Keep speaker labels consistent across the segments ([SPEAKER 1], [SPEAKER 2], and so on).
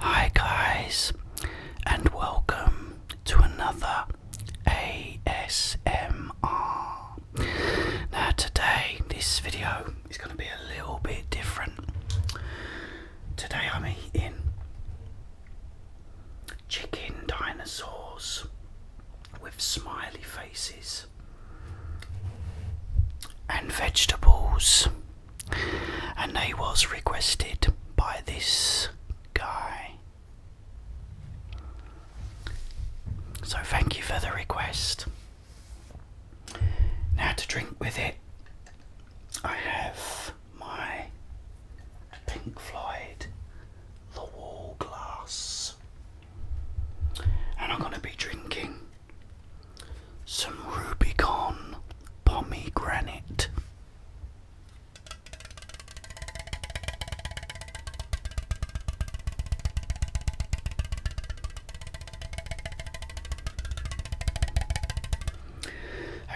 [SPEAKER 1] Hi, guys, and welcome to another ASMR. Now, today, this video it's going to be a little bit different. Today I'm eating chicken dinosaurs with smiley faces and vegetables and they was requested by this guy so thank you for the request now, to drink with it, I have my Pink Floyd The Wall glass, and I'm going to be drinking some Rubicon pomegranate.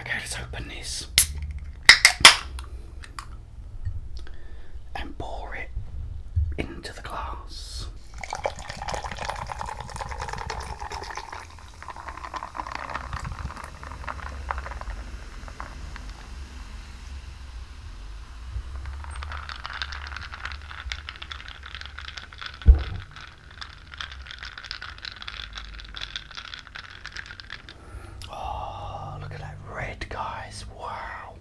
[SPEAKER 1] Okay, let's open this and pour it into the glass. Oh, look at that red, guys. Wow.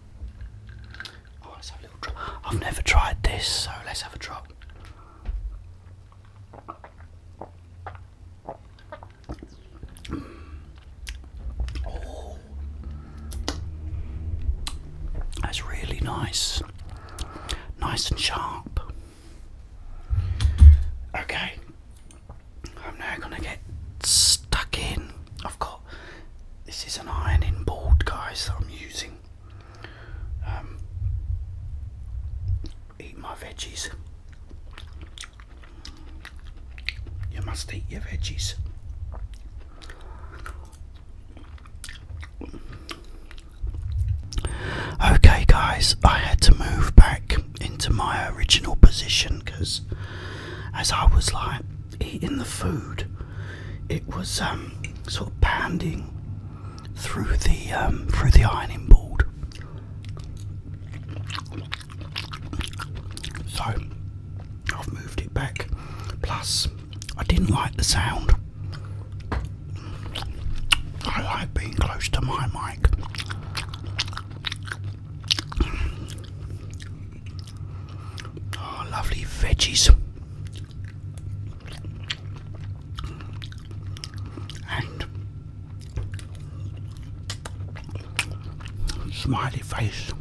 [SPEAKER 1] Oh, let's have a little drop. I've never tried this, so let's have a drop. Oh. That's really nice nice and sharp. Okay, I'm now going to get stuck in. I've got this is an ironing board, guys, I'm using. Um, eat my veggies. You must eat your veggies. Okay, guys, I had to move back into my original position because as I was like eating the food, it was um, sort of panning through the um, through the ironing board. So I've moved it back. Plus, I didn't like the sound I like being close to my mic. Oh, lovely veggies. And smiley face.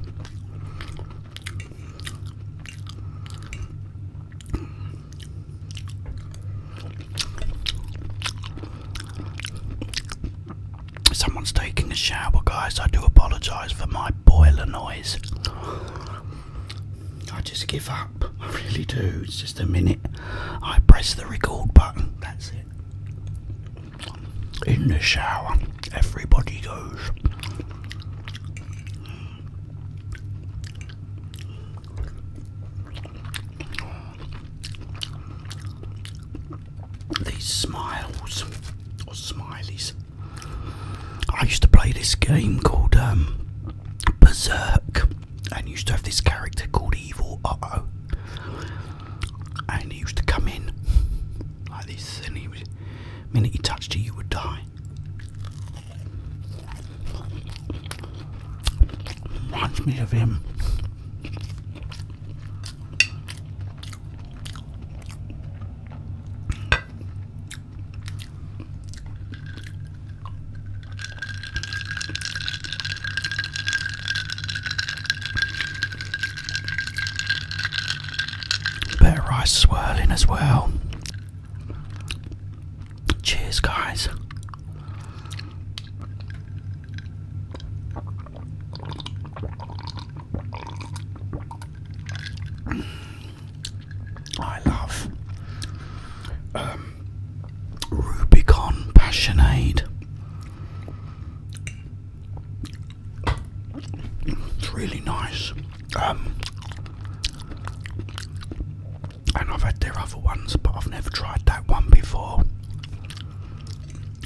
[SPEAKER 1] Someone's taking a shower, guys. I do apologise for my boiler noise. I just give up. I really do. It's just a minute. I press the record button. That's it. In the shower, everybody goes. These smiles or smileys. I used to play this game called um, Berserk, and used to have this character called Evil Uh Oh, and he used to come in like this, and he would, minute he touched you, you would die. Reminds me of him. Better rice swirling as well. Cheers, guys. I love um, Passionade. It's really nice. Um, and I've had their other ones, but I've never tried that one before.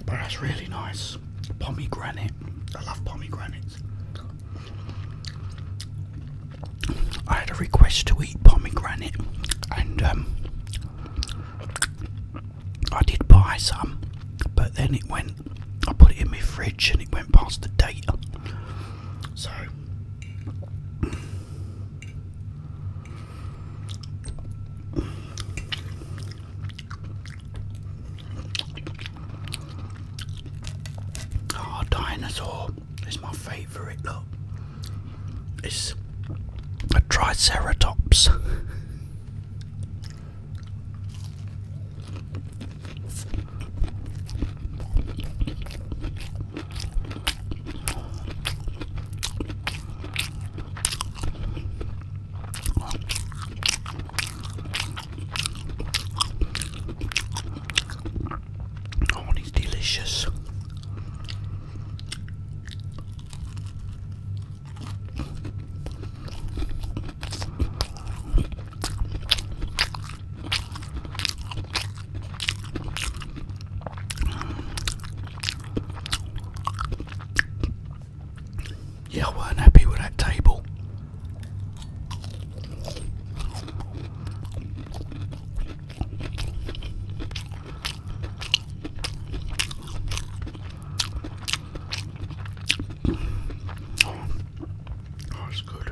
[SPEAKER 1] But that's really nice. Pomegranate. I love pomegranates. I had a request to eat pomegranate, and um, I did buy some, but then it went. I put it in my fridge, and it went past the date. So Oh, dinosaur is my favourite. Look, it's a triceratops. Oh, it's delicious. Yeah, I weren't happy with that table. that's oh, good.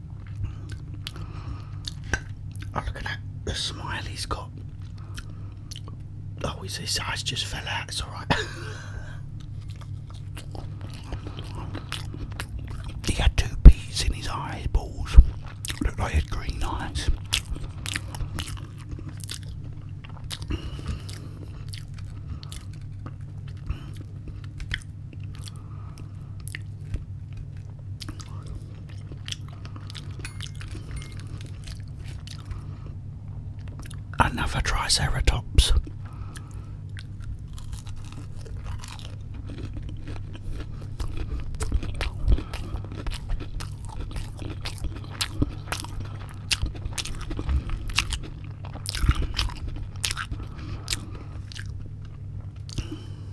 [SPEAKER 1] Oh, look at that. The smile he's got. Oh, his eyes just fell out. It's alright. he had two peas in his eyeballs. Looked like he had green eyes. Another Triceratops.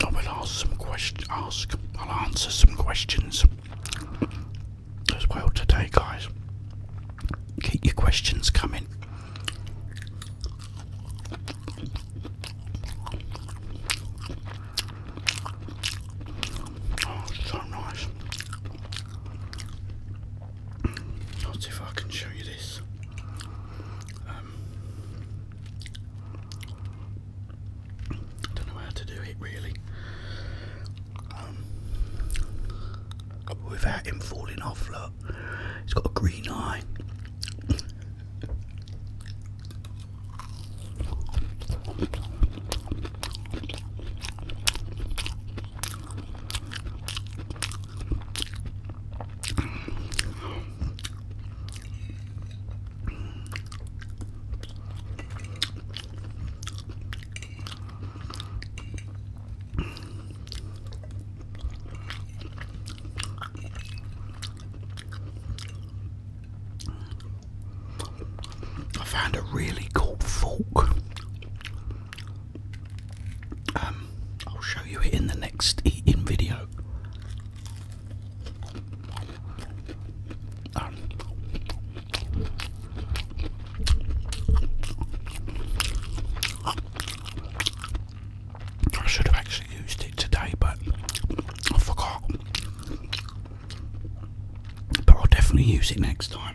[SPEAKER 1] I will ask some questions. I'll answer some questions as well today, guys. Keep your questions coming. Oh, so nice. see if I can show you this don't know how to do it really um, without him falling off look he's got a green eye I found a really cool fork. Um, I'll show you it in the next eating video. I should have actually used it today, but I forgot. But I'll definitely use it next time.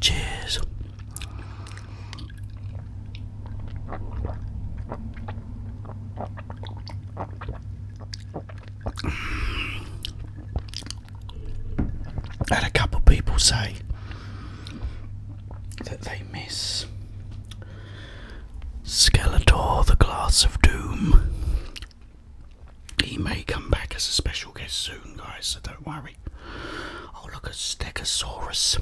[SPEAKER 1] Cheers. Had a couple people say that they miss. Skeletor, the Glass of Doom. He may come back as a special guest soon, guys, so don't worry. Oh, look, a Stegosaurus.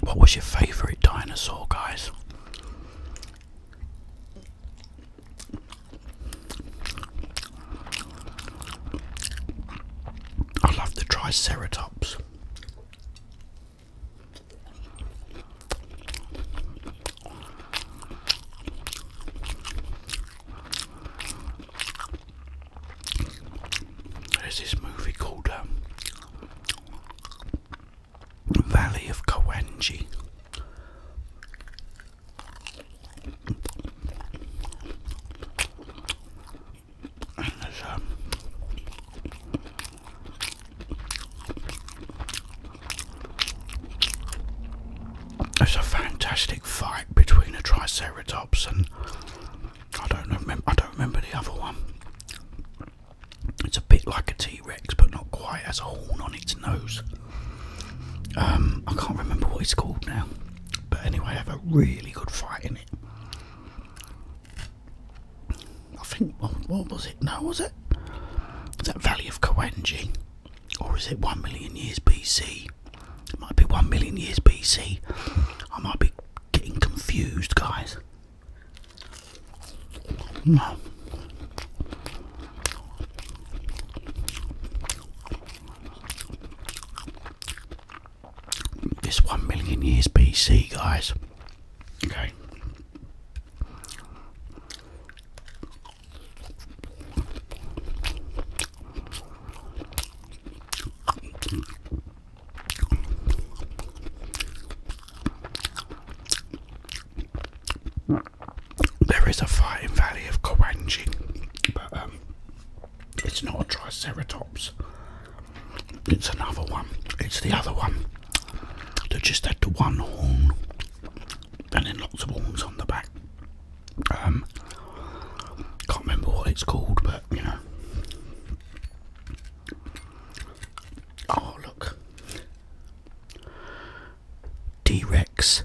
[SPEAKER 1] What was your favourite dinosaur, guys? I love the Triceratops. There's this movie called um, Valley of Kawanji. Um, there's a fantastic fight between a Triceratops and I don't remember. I don't remember the other one. It's a bit like a T Rex, but not quite. Has a horn on its nose. Um, I can't remember what it's called now. But anyway, I have a really good fight in it. I think. what was it? No, was it? Is that Valley of Kawanji, or is it one million years BC? It might be one million years BC. I might be getting confused, guys. This one million years BC, guys. Okay. There is a in valley of Kawanji, but um, it's not a Triceratops. It's another one. It's the other one that just had the one horn and then lots of horns on the back. Um, can't remember what it's called, but you know, Oh, look. T Rex.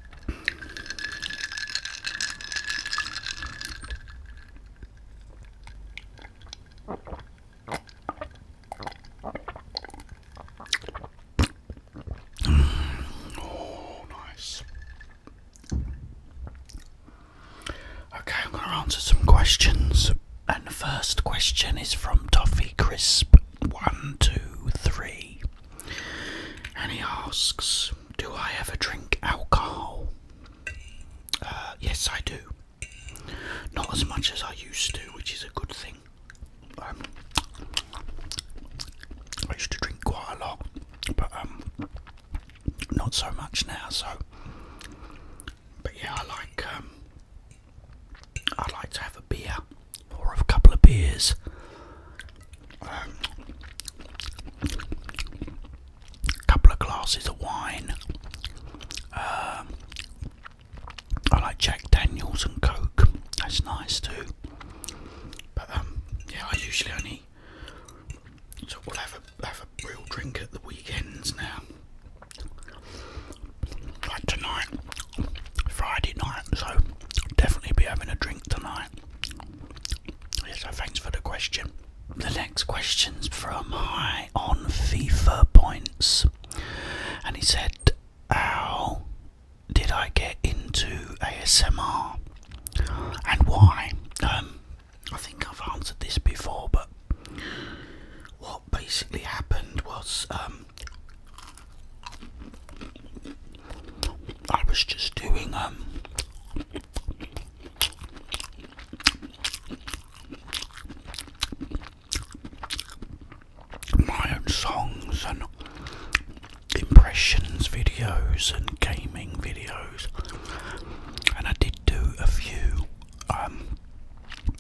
[SPEAKER 1] Oh, nice. Okay, I'm going to answer some questions. And the first question is from Toffee Crisp123. And he asks do I ever drink alcohol? Uh, yes, I do. Not as much as I used to, which is a good thing. Um, I used to drink quite a lot, but um, not so much now. So, but yeah, I like um, I like to have a beer or a couple of beers couple of glasses of wine. Um, I like Jack Daniels and Coke. That's nice too. But um, yeah, I usually only so we'll have a have a real drink at the weekends now. Like tonight, Friday night. So definitely be having a drink tonight. Yes, thanks for the question. The next question's from High on FIFA Points, and he said, How did I get into ASMR and why? Um, I think I've answered this before, but what basically happened was um, I was just doing um, my own songs and impressions videos and gaming videos and I did do a few um,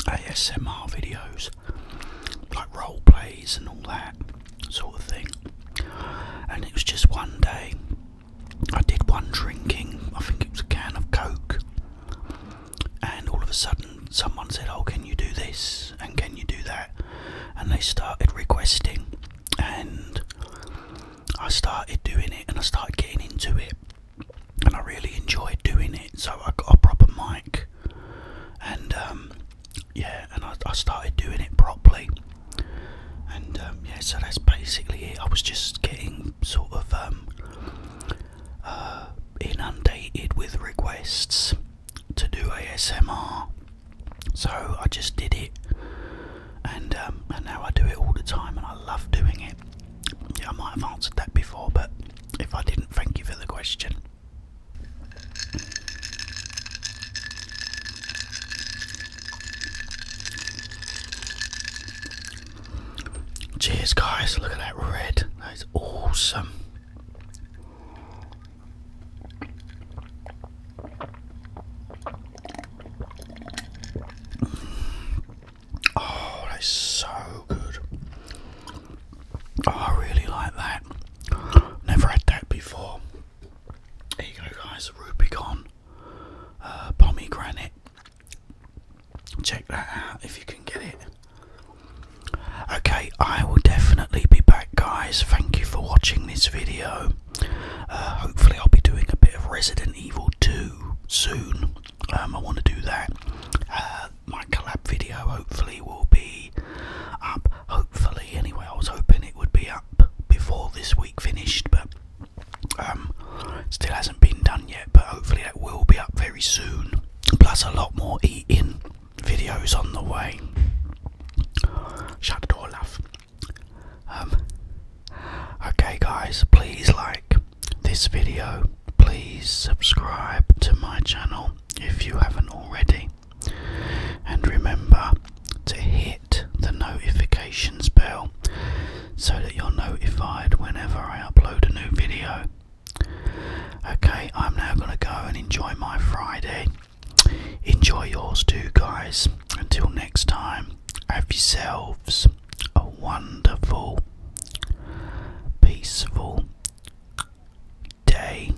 [SPEAKER 1] ASMR videos like role plays and all that sort of thing and it was just one day I did one drinking, I think it was a can of Coke, and all of a sudden someone said, Oh, can you do this? And can you do that? And they started requesting, and I started doing it, and I started getting into it, and I really enjoyed doing it. So I got a proper mic, and um, yeah, and I started doing it properly and um, yeah, so that's basically it. I was just getting sort of um, uh, inundated with requests to do ASMR, so I just did it, and um, and now I do it all the time, and I love doing it. Yeah, I might have answered that before, but if I didn't, thank you for the question. Cheers, guys. Look at that red. That is awesome. Oh, that's so good. Oh, I really like that. Never had that before. There you go, guys. Rubicon. Uh, pomegranate. Check that out if you can get it. Okay, I will definitely be back, guys. Thank you for watching this video. Uh, hopefully, I'll be doing a bit of Resident Evil 2 soon. Um, I want to do that. Uh, my collab video hopefully will be up. Hopefully, anyway, I was hoping it would be up before this week finished, but um, still hasn't been done yet, but hopefully that will be up very soon. Plus, a lot more eating videos on the way. Shut the door, love. Um, okay, guys, please like this video. Please subscribe to my channel if you haven't already. And remember to hit the notifications bell so that you're notified whenever I upload a new video. Okay, I'm now going to go and enjoy my Friday. Enjoy yours too, guys. Until next time, have yourselves a wonderful, peaceful day.